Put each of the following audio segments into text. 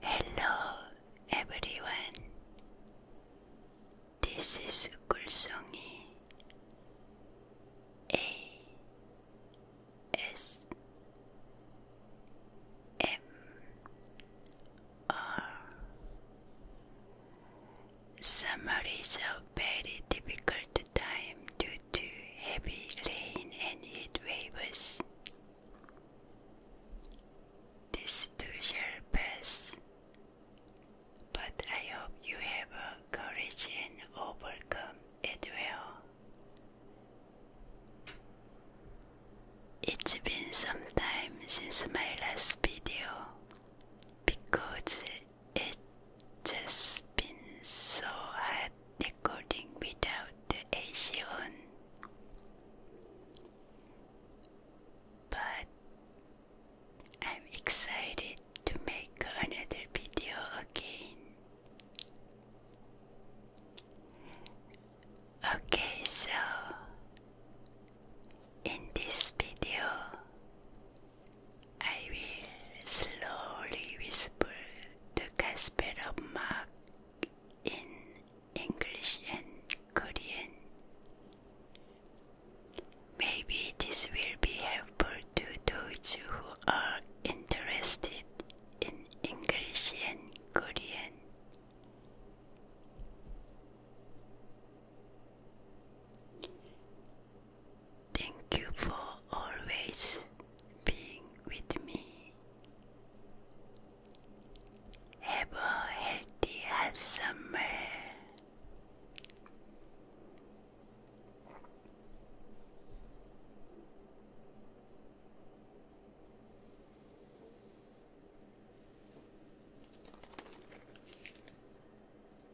Hello everyone. This is Gulsongi A S M R Summer is a very difficult time due to heavy rain and heat waves. This too shall pass, but I hope you have courage and overcome it well. It's been some time since my last video because it's just been so hard recording without the AC on. But I'm excited to make another video again. Okay, so in this video, I will slowly whisper the of mark in English and Korean. Maybe this will be helpful to those who are interested in English and Korean. Thank you for always being with me. Have a healthy, handsome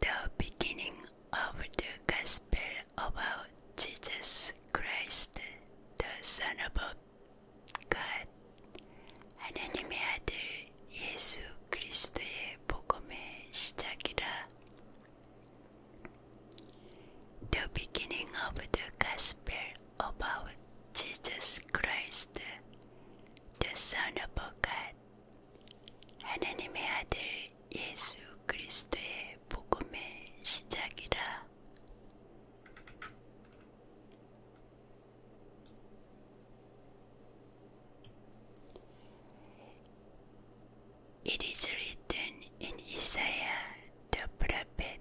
The beginning of the gospel about Jesus Christ, the Son of God, 하나님의 아들 예수 그리스도의 복음의 시작이라. The beginning of the gospel about Jesus Christ, the Son of God. 하나님의 아들 예수 그리스도의 복음의 시작이라. It is written in Isaiah the prophet.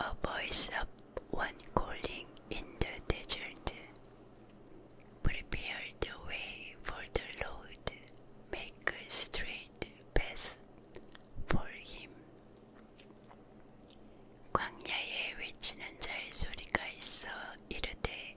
A voice of one calling in the desert. Prepare the way for the Lord, make a straight path for him. 광야에 외치는 자의 소리가 있어 이르되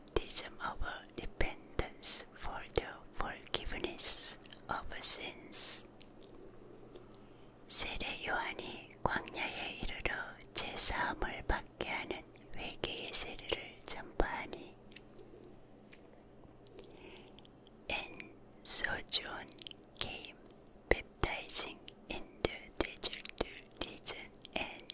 baptism of repentance for the forgiveness of sins. 세례 요한이 광야에 이르러 제사함을 받게 하는 회개의 And so John came baptizing in the desert region and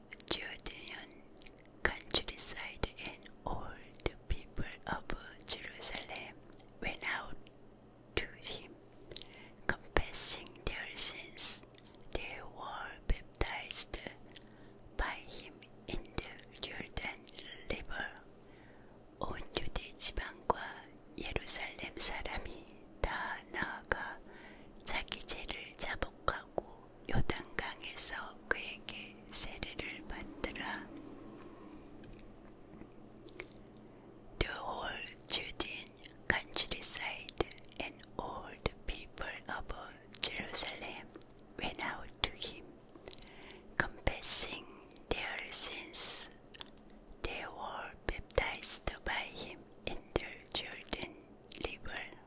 Jordan countryside and all the people of Jerusalem went out to him, confessing their sins. They were baptized by him in the Jordan River. 온 유대 지방과 예루살렘 사람이 다 나아가 자기 죄를 자복하고 요단강에서 그에게 세례를 받더라. The whole Judean countryside and all the people of Jerusalem went out to him, confessing their sins. They were baptized by him in the Jordan River.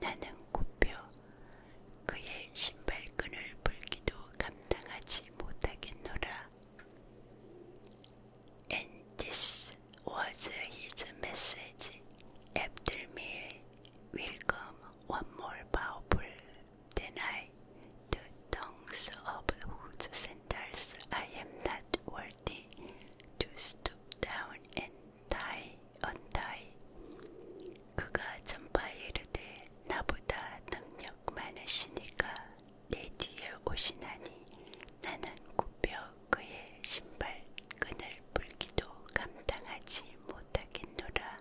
나는 굽혀 그의 신발끈을 풀기도 감당하지 못하겠노라. And this was his message. After me will come one more powerful than I, the tongues of whose centers, I am not worthy to stoop down and tie. 언다이 그가 전파이르되 나보다 능력 많으시니까 내 뒤에 오시나니 나는 굽혀 그의 신발 끈을 풀기도 감당하지 못하겠노라.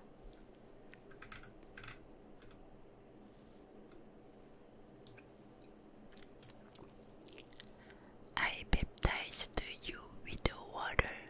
I baptized you with water,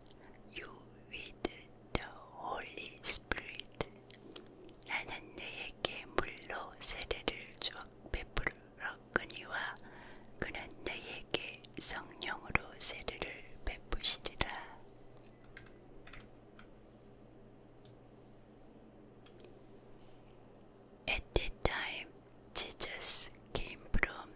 you with the Holy Spirit. 나는 너에게 물로 세례를 주어 베풀었거니와 그는 너에게 성령으로 세례를 베푸시리라. At that time, Jesus came from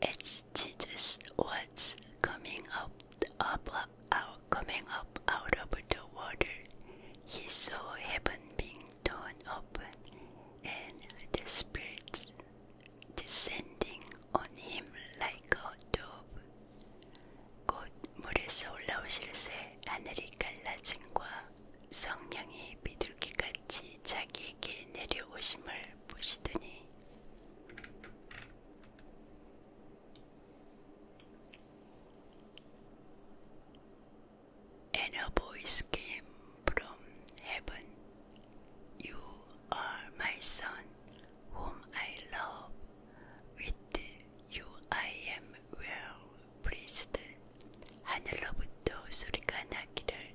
It's Jesus what's coming up, up, out, coming up out of the water. He saw heaven being torn open and the spirits descending on him like a dove. 곧 물에서 올라오실 새 하늘이 갈라진과 성령이 비둘기같이 자기 이렇게 내려오심을 came from heaven. You are my son, whom I love. With you I am well pleased. 하늘로부터 소리가 나기를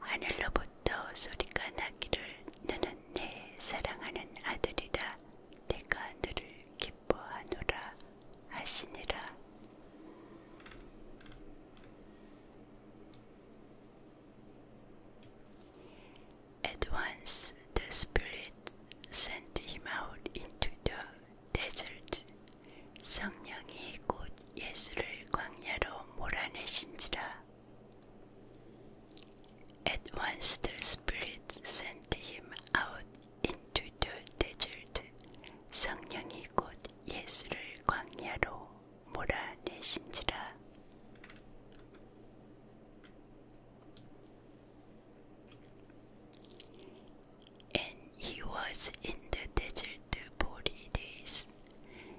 하늘로부터 소리가 나기를 너는 내 사랑하는 아들이라 내가 너를 기뻐하노라 하시니라 At once the Spirit sent him out into the desert. 성령이 곧 예수를 광야로 몰아내신지라. At once the spirit sent him out into the desert. 성령이 곧 예수를 광야로 몰아내신지라. And he was in the desert forty days.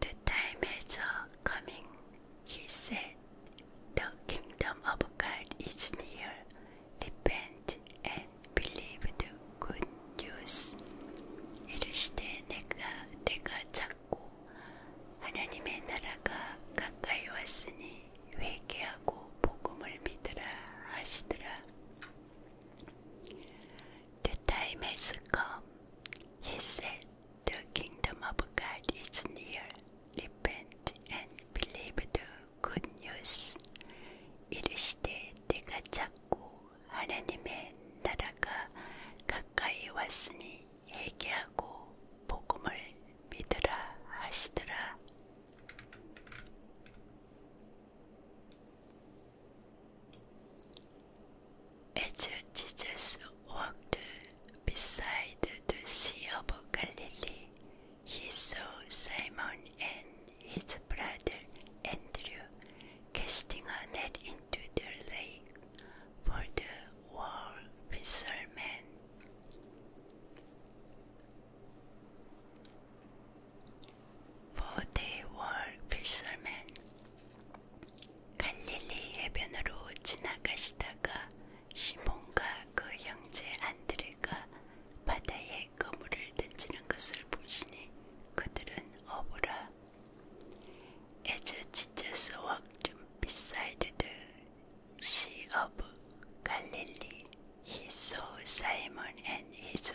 The time is uh, coming, he said. The kingdom of God is near. Repent and believe the good news. 이르시되 내가 찾고 하나님의 나라가 가까이 왔으니 회개하고 복음을 믿으라 하시더라. The time has come, he said, the kingdom of God is near. Repent and believe the good news. 이르시되 내가 자꾸 하나님의 나라가 가까이 왔으니 회개하고 복음을 믿으라 하시더라. As Jesus walked beside the Sea of Galilee, he saw Simon and his brother Andrew casting a net into the lake, for the of fishermen for they were fishermen. 갈릴리 해변으로 the 시몬과 그 형제 안드레가 바다에 그물을 던지는 것을 보시니 그들은 어부라. As Jesus walked beside the sea of Galilee, he saw Simon and his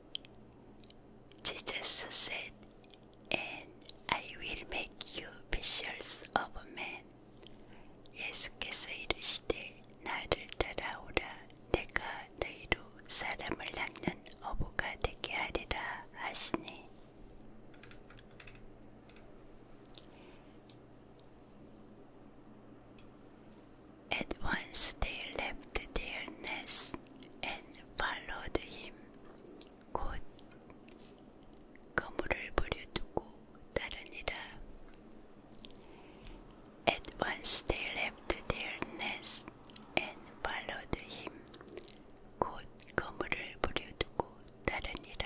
Jesus said, And I will make you fishers of men. 예수께서 이르시되 나를 따라오라 내가 너희로 사람을 낚는 어부가 되게 하리라 하시니 At once they left their nests and followed him. 곧 거물을 버려두고 따르니라. At once they left their nest and followed him. 곧 거물을 버려두고 따르니라.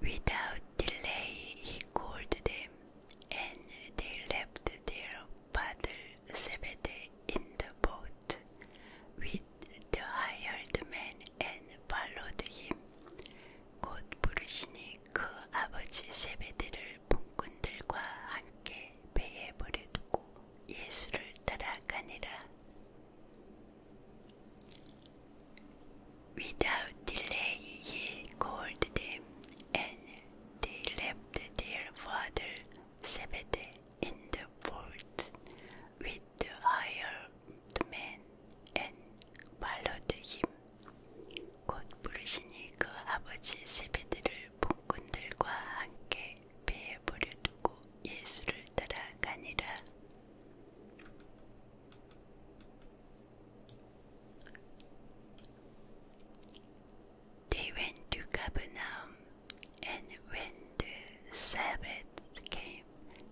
Without delay he called them, and they left their father Zebedee in the boat with the hired men and followed him. 곧 부르시니 그 아버지 세베데를 본꾼들과 함께 Without delay he called them, and they left their father Zebedee in the boat with the higher the and followed him. 곧 부르시니 그 아버지 세베드를 봉꾼들과 함께 배에 버려두고 예수를 따라가니라. They went to Capernaum, and when the Sabbath came,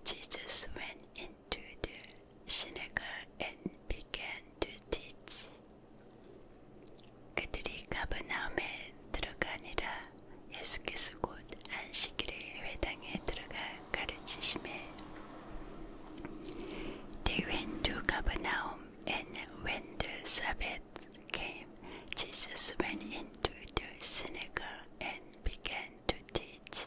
Jesus went in to the synagogue and began to teach. 그들이 가버나움에 들어가니라 예수께서 곧 안식일에 회당에 들어가 가르치심에 They went to Capernaum and when the Sabbath came, Jesus went into the synagogue and began to teach.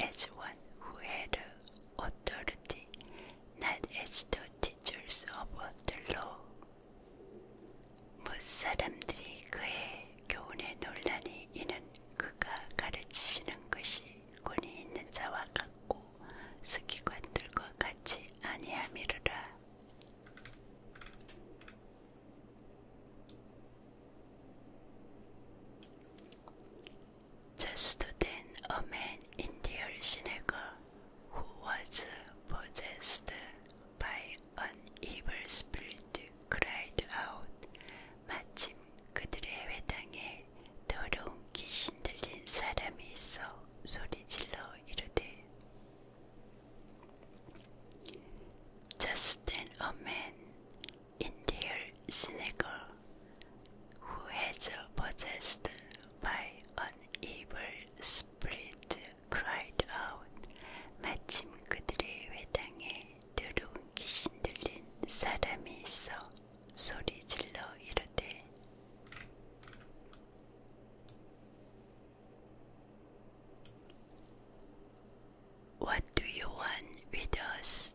as one who had authority, not as the teachers of the law. 못 뭐 사람들이 그의 교훈에 논란이 이는 그가 가르치시는 것이 권위 있는 자와 같고 스기관들과 같이 아니함이로라. Just then a man in the synagogue who was possessed by an evil spirit cried out 마침 그들의 회당에 더러운 귀신 들린 사람이 있어 소리질러 이르되 Just then a man in Indale Sneaker, who was possessed by an evil spirit, cried out, 마침 그들의 회당에 들어온 귀신 들린 사람이 있어 소리질러 이르되 What do you want with us?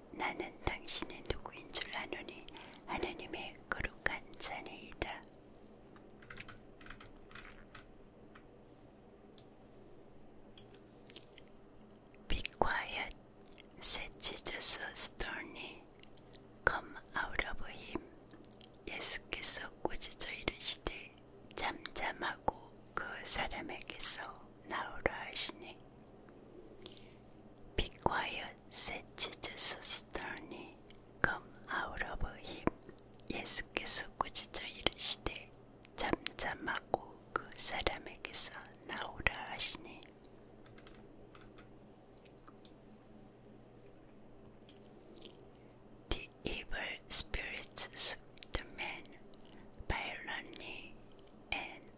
나는 당신이 누구인 줄 아노니 하나님의 거룩한 자네이다. Be quiet, said Jesus sternly. Come out of him. 예수께서 꾸짖어 이르시되 잠잠하고 그 사람에게서 나오라 하시니 Be quiet, said the sternly. Come out of him. 예수께서 꾸짖어 이르시되 잠잠하고 그 사람에게서 나오라 하시니. The evil spirits took the man violently and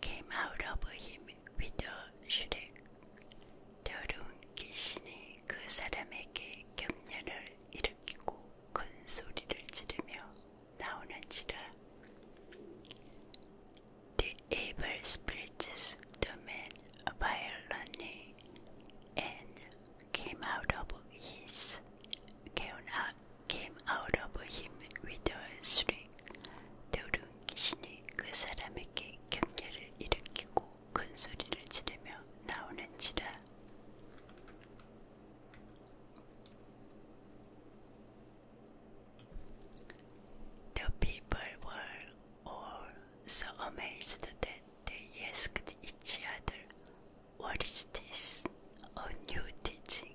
came out of him with a shriek. 더러운 귀신이 그 사람에게 경련을 일으키고 큰 소리를 지르며 나오는지라. The evil spirits the man violently and came out of his gown came out of him with a shriek. The people were all so amazed that they asked each other, What is this? new teaching,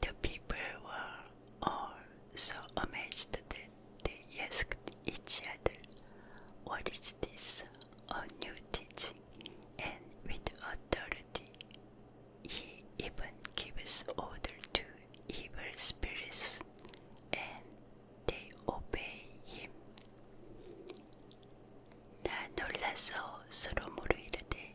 The people were all so amazed that they asked each other, What is this? A new teaching, and with authority. He even gives order to evil spirits, and they obey him. 나 놀라서 서로 물르이르되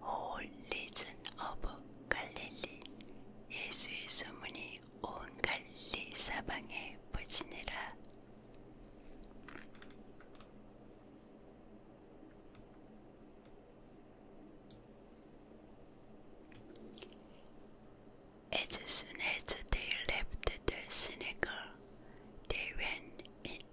whole region of Galilee. 예수의 소문이 온 갈리 사방에 퍼지니라. As soon as they left the synagogue, they went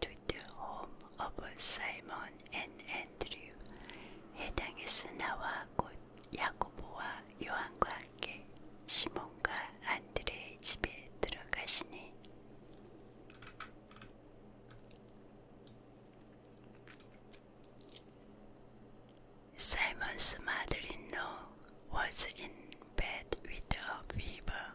to the home of Simon and Andrew 해당했으나와 곧 야고보와 요한과 함께 시몬과 안드레의 집에 들어가시니 Simon's mother-in-law was in bed with a fever.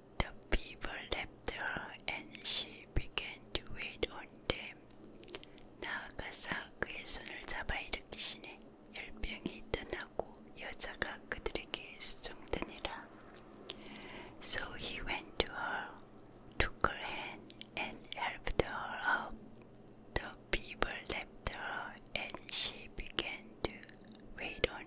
The people left her and she began to wait on them. 나아가서 그의 손을 잡아 일으키시니 열병이 떠나고 여자가 그들에게 수종되니라. So he went to her, took her hand, and helped her up. The people left her, and she began to wait on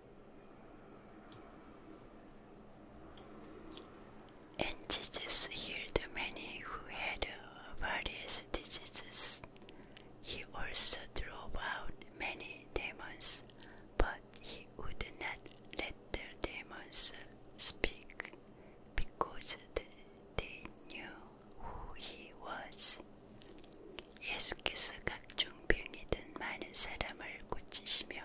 And Jesus healed many who had uh, various diseases. He also drove out many demons, but he would not let their demons speak because they knew who he was. 예수께서 각종 병이든 많은 사람을 고치시며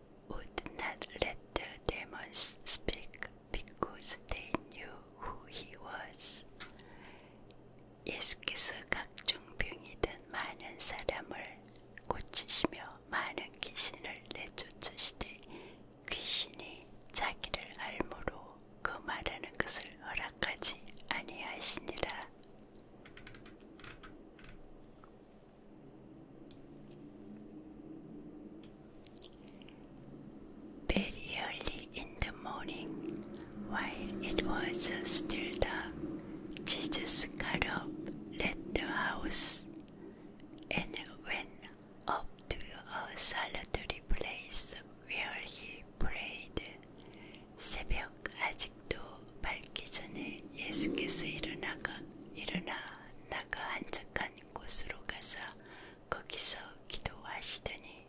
would not let the demons speak because they knew who he was. 예수께서 각종 병이든 많은 사람을 고치시며 많은 귀신을 내쫓으시되 귀신이 자기를 알므로 그 말하는 것을 허락하지 아니하시니라. Very early in the morning, while it was still dark, Jesus got up, left the house, and went up to a solitary place where he prayed. 새벽 아직도 밝기 전에 예수께서 일어나가 일어나 나가 한적한 곳으로 가서 거기서 기도하시더니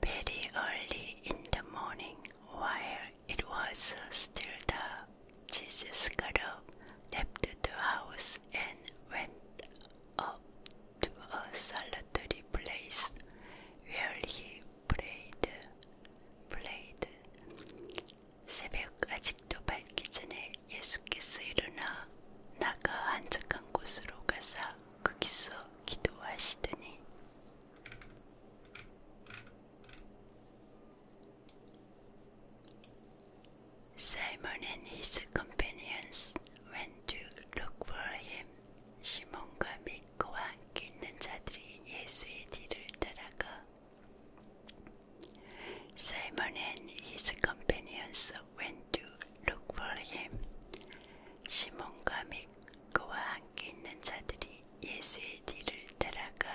Very early in the morning, while it was still dark, Jesus got up, left the house, and went up to a solitary place where he prayed. 새벽 아직도 밝기 전에 예수께서 일어나 나가 한적한 곳으로 가사 거기서 기도하시더니 Simon and his companions went to look for him. 시몬과 믿고와 함께 있는 자들이 예수의 뒤를 따라가 Simon and his companions went to look for him. 시몬과 미크와 함께 있는 자들이 예수의 뒤를 따라가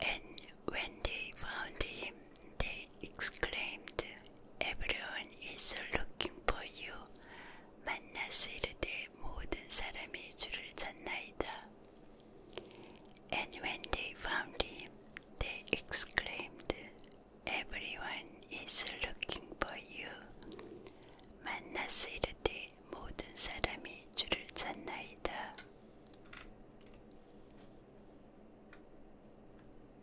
And when they found him, they exclaimed, "Everyone is looking for you. 만났을 때 모든 looking for you." And when they found him, they exclaimed, "Everyone is looking for you." 만났을 때 모든 looking for you."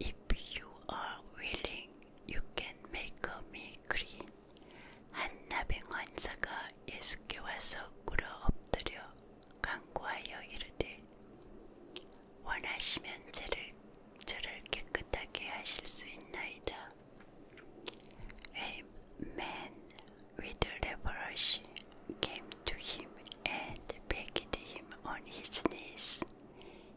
If you are willing, you can make me clean. 한나병 환사가 예수께 와서 꿇어 엎드려 간구하여 이르되 원하시면 저를, 저를 깨끗하게 하실 수 있나이다. A man with leprosy came to him and begged him on his knees.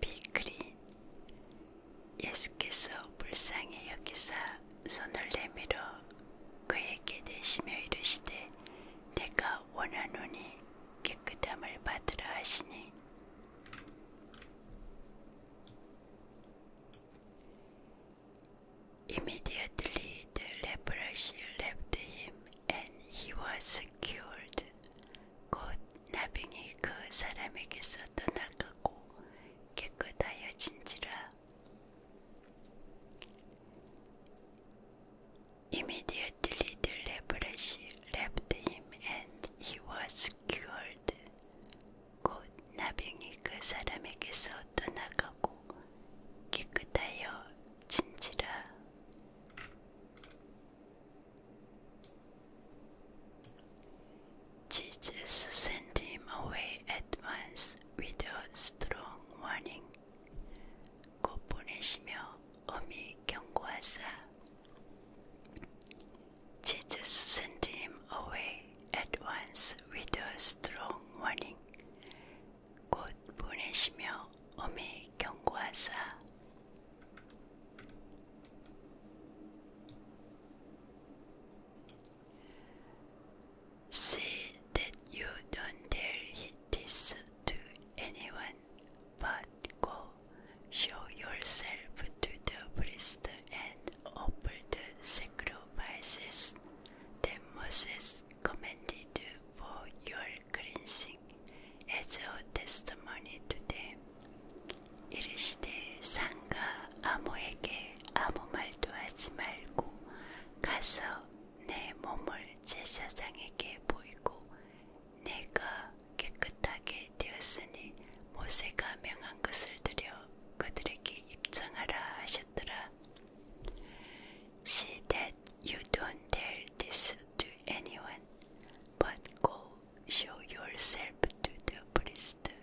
비그린 예수께서 불쌍히 여기사 손을 내밀어 그에게 대시며 이르시되 내가 원하노니 깨끗함을 받으라 하시니 Immediately the leprosy left him and he was cured. 곧 나병이 그 사람에게서 떠나가고 깨끗하여진지라. Immediately the leprosy left him and he was cured. 곧 나병이 그 사람에게서 떠나가고 깨끗하여 진지라. Jesus sent him away at once with a strong warning. 곧 보내시며 엄히 경고하사. Jesus sent him away at once with a strong warning. 곧 보내시며 엄히 경고하사. See that you don't tell this to anyone, but go show yourself to the priest and offer the sacrifices that Moses commanded for your cleansing as a testimony to them. 이르시되 상가 아무에게 아무 말도 하지 말고 가서 내 몸을 제사장에게 보이고 내가 깨끗하게 되었으니 모세가 명한 것을 들여 그들에게 입증하라 하셨더라. See that you don't tell this to anyone, but go show yourself to the priest.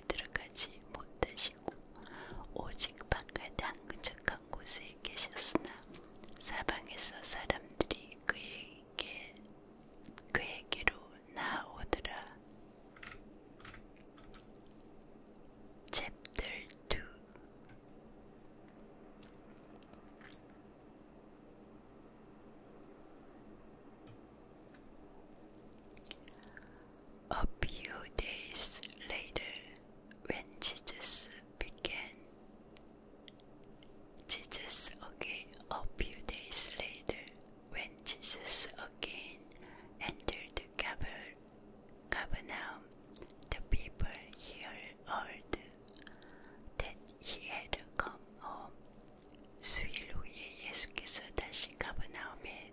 안에 들어가지 못하시고 오직 바깥 한적한 곳에 계셨으나 사방에서 사람들이 그에게 그에게로 나오더라. Chapter 2 A few days later, when Jesus began, Jesus again. A few days later, when Jesus again entered the Capernaum, the people here heard that he had come home. 수일 후에 예수께서 다시 가버나움에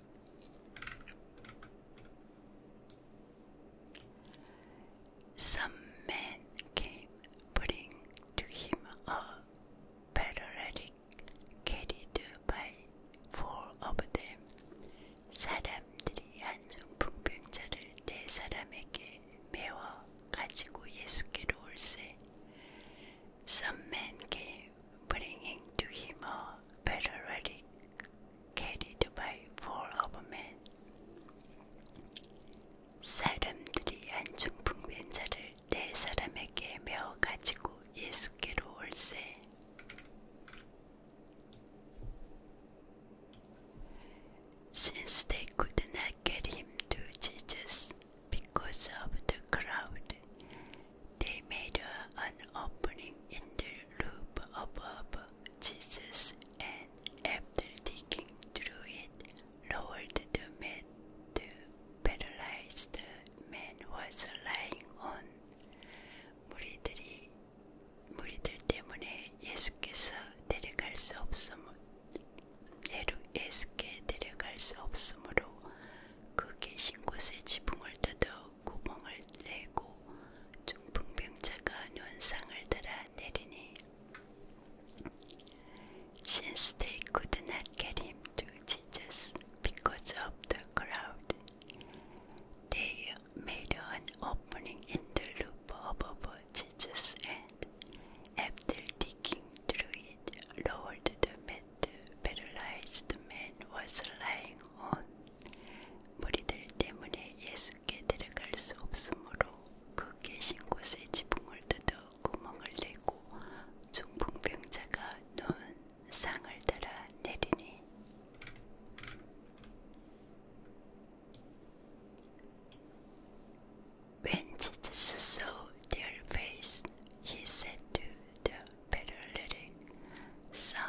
Some men came, putting to him a paralytic carried by four of them. 사람들이 한중 풍병자를 네 사람에게 메워 가지고 예수께로 올세. Some men came, bringing to him a paralytic carried by four overmen. 사람들이 안중풍변 자를 네 사람에게 메어 가지고 예수께로 올세. Since they could not get him to Jesus because of the crowd, they made an opening in the roof above Jesus and, after digging through it, lowered the mat the paralyzed man was lying on. 무리들이, 무리들 때문에 예수께서 데려갈 수 없음, 예수께 데려갈 수 없으므로 그 계신 곳에 지붕을 뜯어 since they could not get him to Jesus because of the crowd, they made an opening in the roof above Jesus and, after digging through it, lowered the mat. The paralyzed man was lying 온 무리들 때문에 예수께 들어갈 수 없으므로 그 계신 곳에 지붕을 뜯어 구멍을 내고 중풍병자가 누운 상을 따라 내리니 When Jesus saw their face, he said to the paralytic, Son,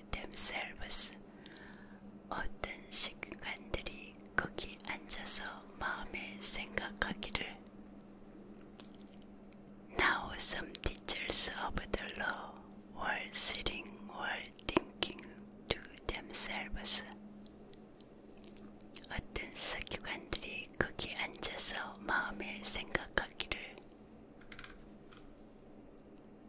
themselves. 어떤 식관들이 거기 앉아서 마음의 생각하기를. Now some teachers of the law were sitting while thinking to themselves. 어떤 사기관들이 거기 앉아서 마음에 생각하기를.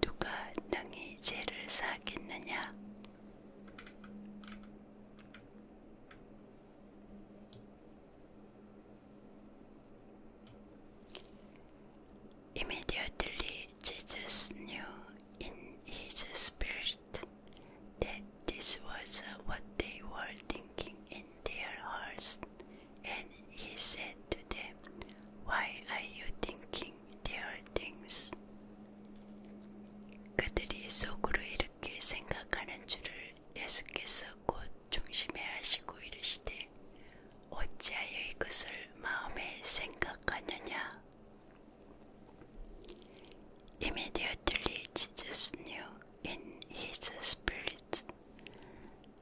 누가 능히 죄를 사겠느냐? Immediately Jesus knew in his spirit that this was what they were thinking in their hearts, and he said to why are you thinking their things? 그들이 속으로 이렇게 생각하는 줄을 예수께서 곧 중심에 하시고 이르시되 어찌하여 이것을 마음에 생각하느냐? Immediately Jesus knew in his spirit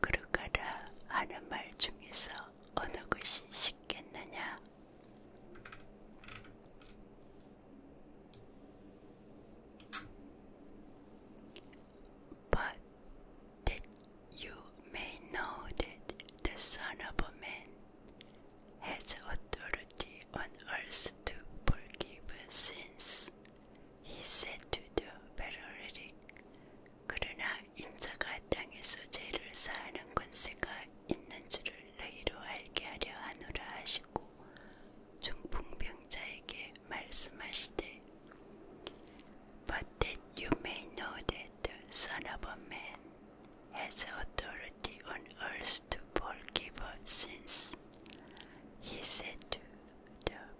그루가라 But that you may know that the Son of Man has authority on earth to forgive sins. He said to the paralytic, 그러나 인자가 땅에서 죄를 사하는 권세가 있는 줄을 너희로 알게 하려 하노라 하시고 중풍병자에게 말씀하시되 But that you may know that the Son of a Man has authority on earth to forgive sins. He said to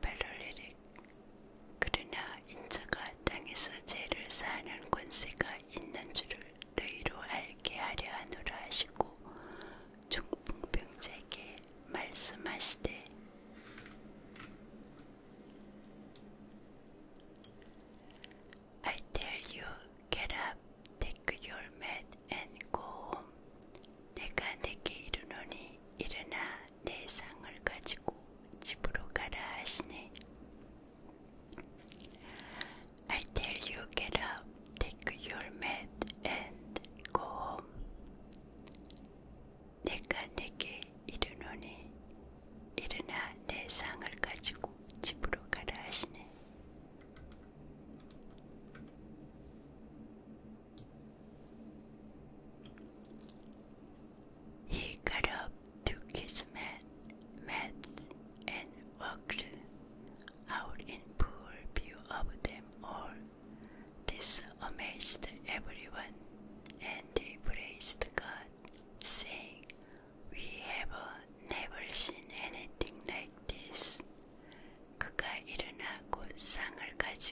베를리릭 그러나 인자가 땅에서 죄를 사하는 권세가 있는 줄을 너희로 알게 하려 하노라 하시고 중풍병자에게 말씀하시되 I tell you, get up, take your mat and go home. 내가 내게 이르노니 일어나 내 상을 가지고 집으로 가라 하시네. I tell you get up, take your mat and go home. 내가 내게 이르노니 일어나 내 상을 가지고 집으로 가라 하시네. He got up, took his mat, mats, and walked out in poor view of them all. This amazed everyone, and they praised God, saying, We have never seen anything like this. 그가 일어나고 상을 가지고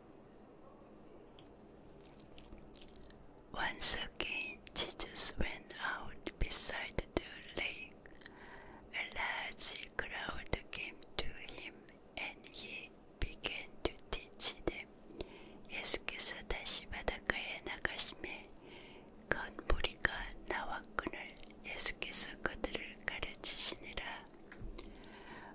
Once again, Jesus went out beside the lake. A large crowd came to him, and he began to teach them. 예수께서 다시 바닷가에 나가심에 큰 무리가 나왔거늘 예수께서 그들을 가르치시니라.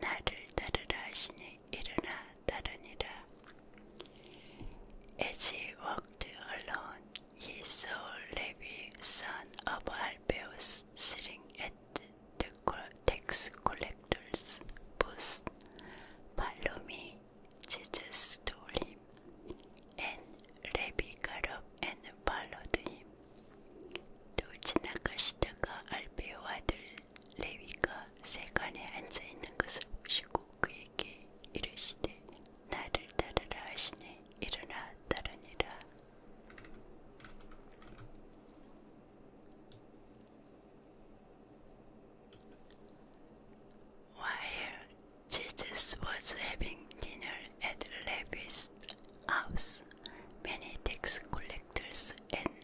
나를 As he walked alone, he saw Levi, son of Alphaeus, sitting at the tax collector's booth. Follow me, Jesus told him. And Levi got up and followed him. 또 지나가 시다가 레위가 세간에 앉아있는 것을 보시고 그에게 이르시되 나를 따르라 하시니 일어나 따르니라 While Jesus was having dinner at Levi's house, many tax collectors and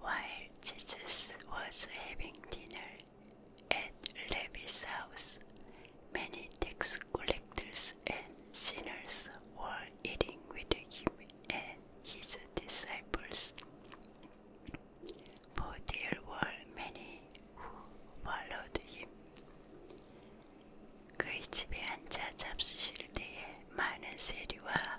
While Jesus was having dinner at Levi's house, many tax collectors and sinners were eating with him and his disciples. For there were many who followed him. 그 집에 앉아 잡수실 때에 많은 세리와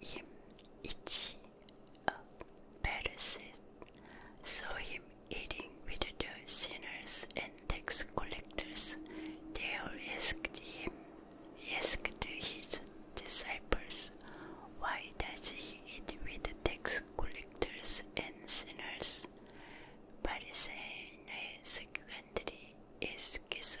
him itchy Pharisees saw him eating with the sinners and tax collectors. They all asked him, asked his disciples, Why does he eat with the tax collectors and sinners? But secondly, is so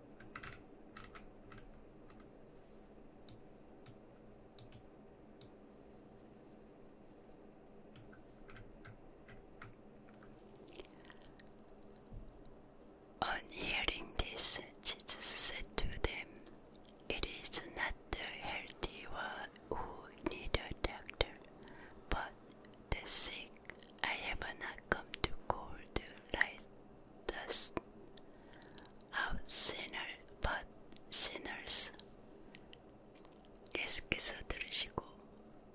On hearing this, Jesus said to them, It is not the healthy who need a doctor, but the sick. I have not come to call the righteous out sinners, but sinners. 예수께서 들으시고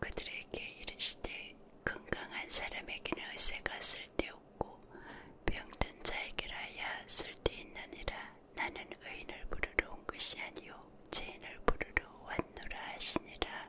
그들에게 이르시되 건강한 사람에게는 의세가 쓸데없고 병든 자에게라야 쓸 데있느니라 나는 의인을 부르러 온 것이 아니요 죄인을 부르러 왔노라 하시니라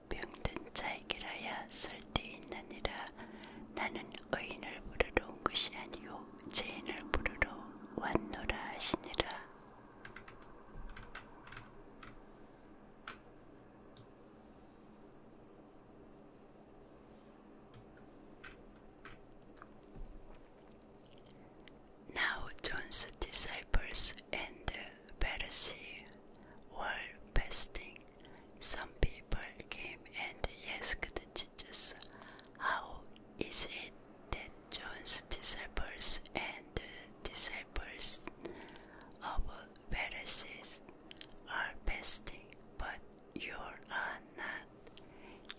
병든 자에게라야 쓸데있느니라 나는 의인을 부르러 온 것이 아니요 죄인을 부르러 왔노라 하시니라 Now John's disciples and Pharisee were fasting. Some people came and asked Jesus, How is it that John's disciples and disciples of Pharisees are fasting, but you are not?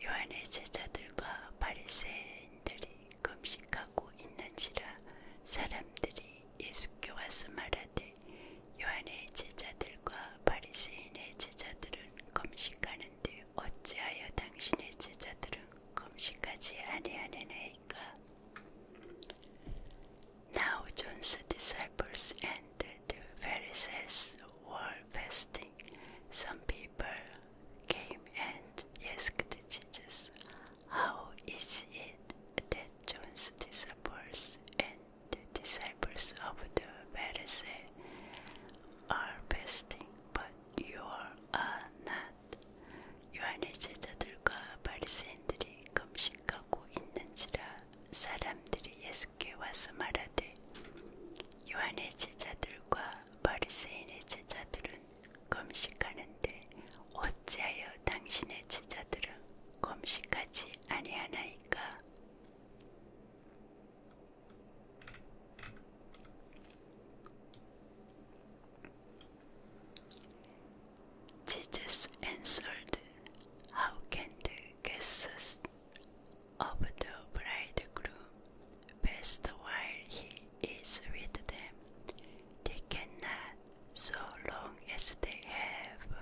요한의 제자들과 바리새인들이 금식하고 있는지라 사람들이 예수께 요한의 바리새인의 제자들은 금식하는데 어찌하여 당신의 제자들은 금식하지 아니하느냐이까? Now John's disciples and the Pharisees were fasting. Some people came and asked the Jesus, "How is it that John's disciples and the disciples of the Pharisee are fasting, but you are uh, not. 요한의 제자들과 바리새인들이 금식하고 있는지라 사람들이 예수께 와서 말하되 요한의 제자들과 바리새인의 제자들은 금식하는데 어찌하여 당신의 제자들은 금식하지 あれやないか Jesus answered, How can the guests of the bridegroom best while he is with them? They cannot, so long as they have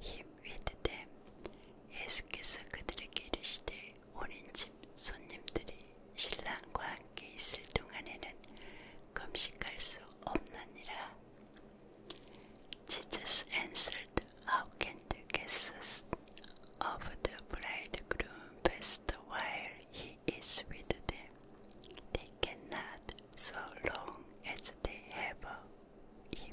him 웨트댐 예수께서 그들의 길을 시되 오랜 집 손님들이 신랑과 함께 있을 동안에는 금식할 수 없느니라. Jesus answered, How the guests of the bridegroom while he is with them? They cannot so long as they have him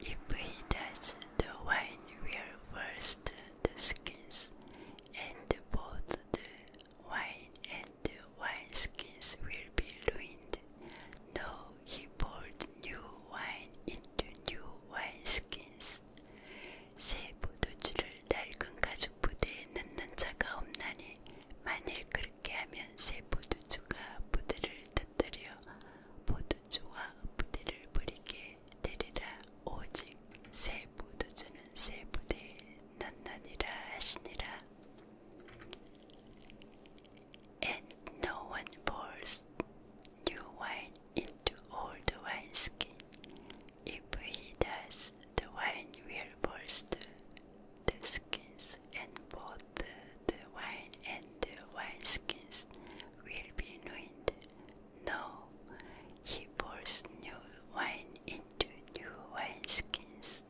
If he does, the wine will burst the skins, and both the wine and the wineskins will be ruined. No, he poured new wine into new wineskins. 새 포도주를 낡은 가죽 부대에 넣는 자가 없나니 만일 그렇게 하면 새 부대를 터뜨려 포도주와 부대를 버리게 되리라 And no one pours new wine into old wineskin. If he does, the wine will burst the skins, and both the wine and the skins will be ruined. No, he pours new wine into new wineskins.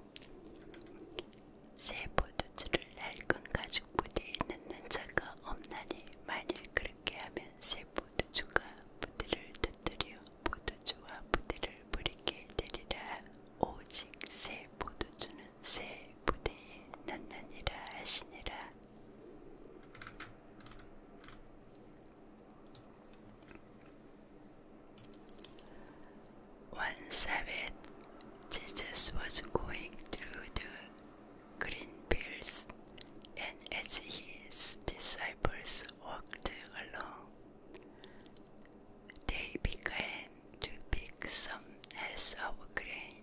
새 포도주를 낡은 가죽 부대에 넣는 자가 없나니 만일 그렇게 하면 새 포도주가 부대를 터뜨려 포도주와 부대를 부리게 되리라. 오직 새 포도주는 새 부대에 넣느니라 하시니라. One Sabbath, Jesus was going through the green fields, and as his disciples walked along, they began to pick some heads of grain.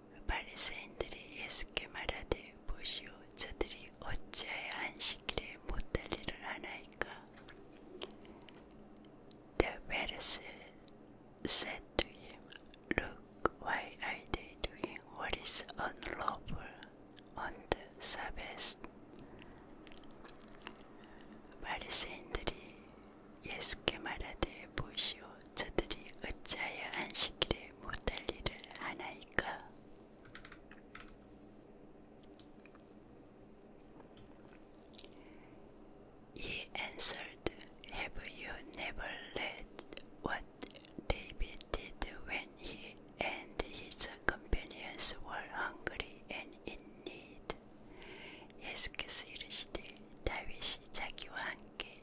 바리새인들이 예수께 말하되 보시오 저들이 어찌하여 안식일에 못달리를 하나이까 The Pharisees said to him, Look, why are they doing what is unlawful on the Sabbath? 바리새인들이 예수께 말하되 보시오 저들이 어찌하여 안식일에 못할 일을 하나이 he answered, Have you never read what David did when he and his companions were hungry and in need? 예수께서 이르시되 다윗이 자기와 함께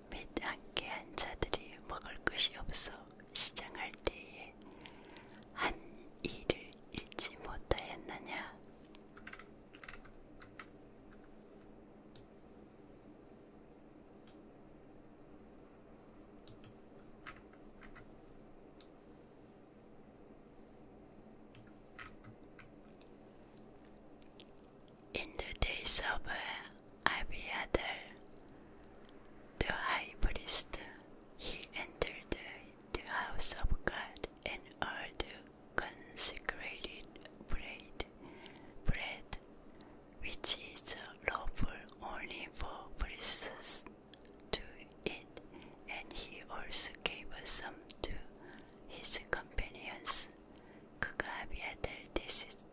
몇 안개한 자들이 먹을 것이 없어 시장할 때에 한 일을 잃지 못하였느냐? In the days of Abiathar, the high priest, he entered the house of God and ordered consecrated bread, bread which is lawful only for priests to eat, and he also gave some to his companions. Cook this is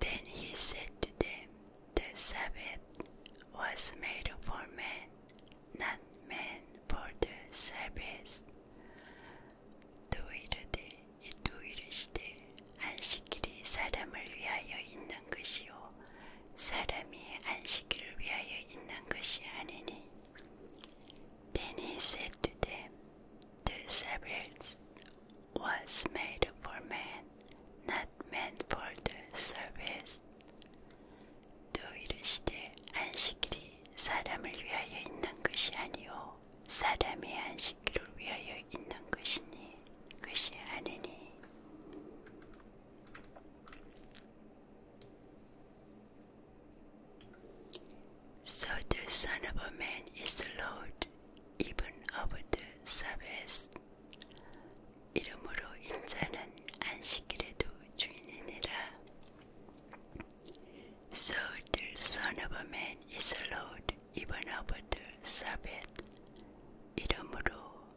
Then he said to them, The Sabbath was made for man, not man for the Sabbath. Do you understand? 또 이르시되 안식일이 사람을 위하여 있는 것이요 사람이 안식일을 위하여 있는 것이 아니니. Then he said to them, The Sabbath was made for man, not man for the service. 또 이르시되 안식일이 사람을 위하여 있는 것이 아니요 사람이 안식일을 위하여 있는 것이니 것이 아니니. So the Son of a Man is a Lord, even over the Sabbath. 이름으로 인자는 안식일에도 주인이니라. So the Son of a Man is a Lord, even over the Sabbath. 이름으로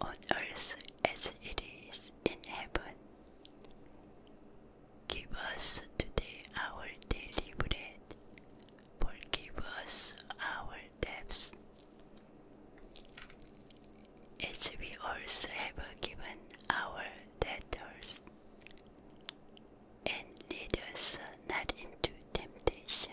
on earth as it is in heaven. Give us today our daily bread. give us our debts, as we also have given our debtors. And lead us not into temptation,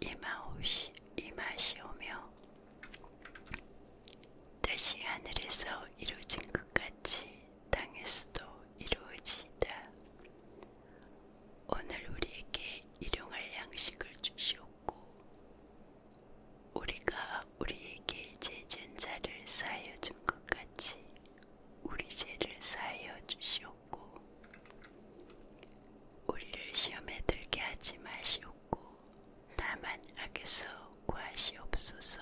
이마오시 이마시오며 다시 하늘에서 이루어진 것 같이 땅에서도 이루어지이다. 오늘 우리에게 일용할 양식을 주시옵고 우리가 우리에게 죄진 자를 사하여 준것 같이 우리 죄를 사하여 주시옵 하시옵고 우리를 시험에 들게 하지 마시옵고 다만 악에서 구하시옵소서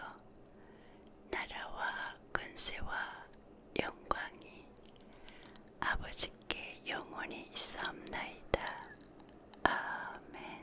나라와 권세와 영광이 아버지께 영원히 있사옵나이다. 아멘